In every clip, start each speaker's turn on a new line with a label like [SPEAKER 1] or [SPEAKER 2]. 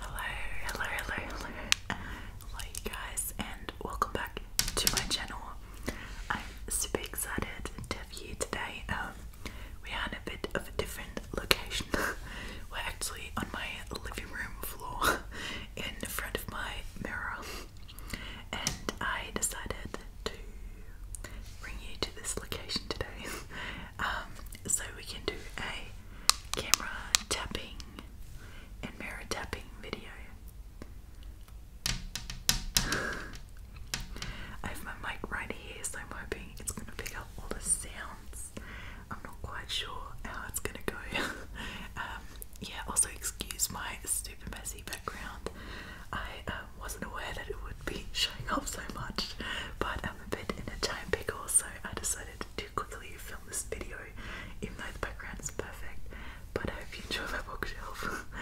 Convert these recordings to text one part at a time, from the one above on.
[SPEAKER 1] Hello, hello, hello, hello. Hello, you guys, and welcome back to my channel. I'm super excited to have you today. Um, we are in a bit of a different location. We're actually on my living room floor in front of my mirror, and I decided to bring you to this location today um, so we can do a camera tapping and mirror tapping video. I have my mic right here, so I'm hoping it's gonna pick up all the sounds. I'm not quite sure how it's gonna go. Um, yeah, also excuse my super messy background. I um, wasn't aware that it would be showing up so much, but am in a time pickle, so I decided to quickly film this video, even though the background is perfect. But I hope you enjoy my bookshelf.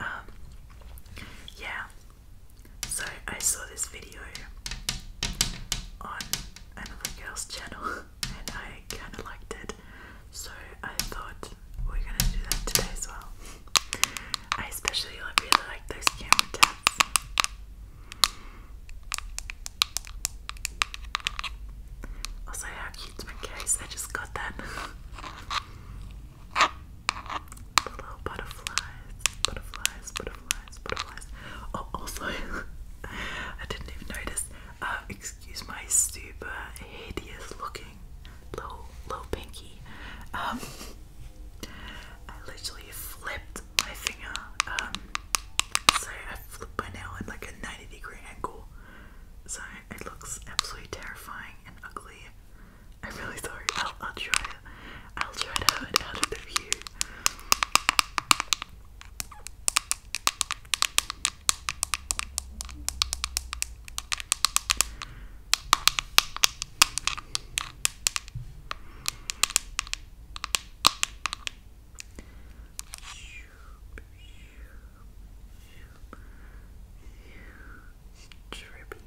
[SPEAKER 1] Um, yeah. So I saw this video on another girl's channel, and I kind of liked it. So I thought we're gonna do that today as well. I especially really like those camera taps. Also, how cute's my case? I just got that. the little butterflies, butterflies, butterflies, butterflies. Oh, also, I didn't even notice. Uh, excuse my super hideous looking low, low pinky. Um, I literally flipped my finger. Um, so I flipped my nail in like a 90 degree angle. So it looks absolutely terrifying and ugly. I'm really sorry. I'll, I'll try it. I'll try to have it out of the view. Drippy.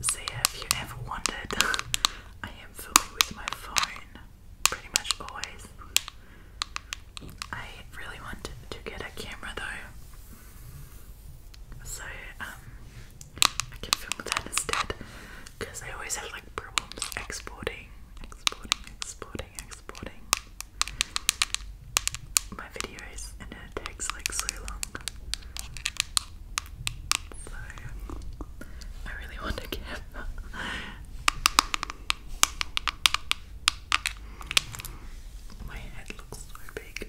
[SPEAKER 1] So, have you ever wondered? I am filming with my phone pretty much always. I really wanted to get a camera though, so um, I can film that instead because I always have like problems exporting, exporting, exporting, exporting my videos, and it takes like so long. So I really want to give. My head looks so big.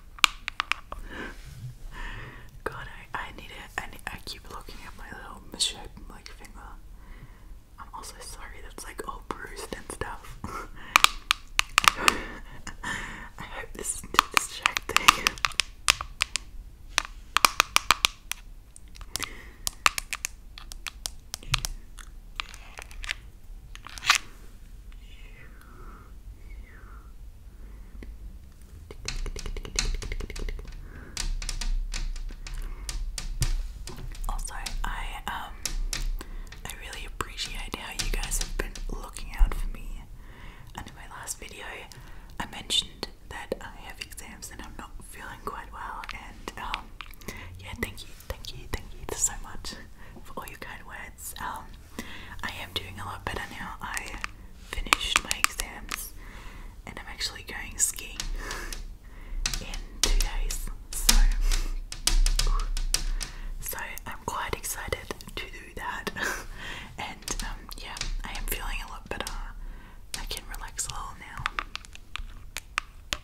[SPEAKER 1] God, I, I need it. I, I keep looking at my little misshapen like finger. I'm also sorry that's like all bruised and stuff. I hope this isn't too distracting. Also, I um I really appreciate how you guys have been looking out for me. And in my last video, I mentioned that I have exams and I'm not feeling quite well. And um, yeah, thank you, thank you, thank you so much for all your kind words. Um, I am doing a lot better now. I finished my exams and I'm actually going skiing in two days. So, so I'm quite excited to do that. and um, yeah, I am feeling a lot better. I can relax a little now.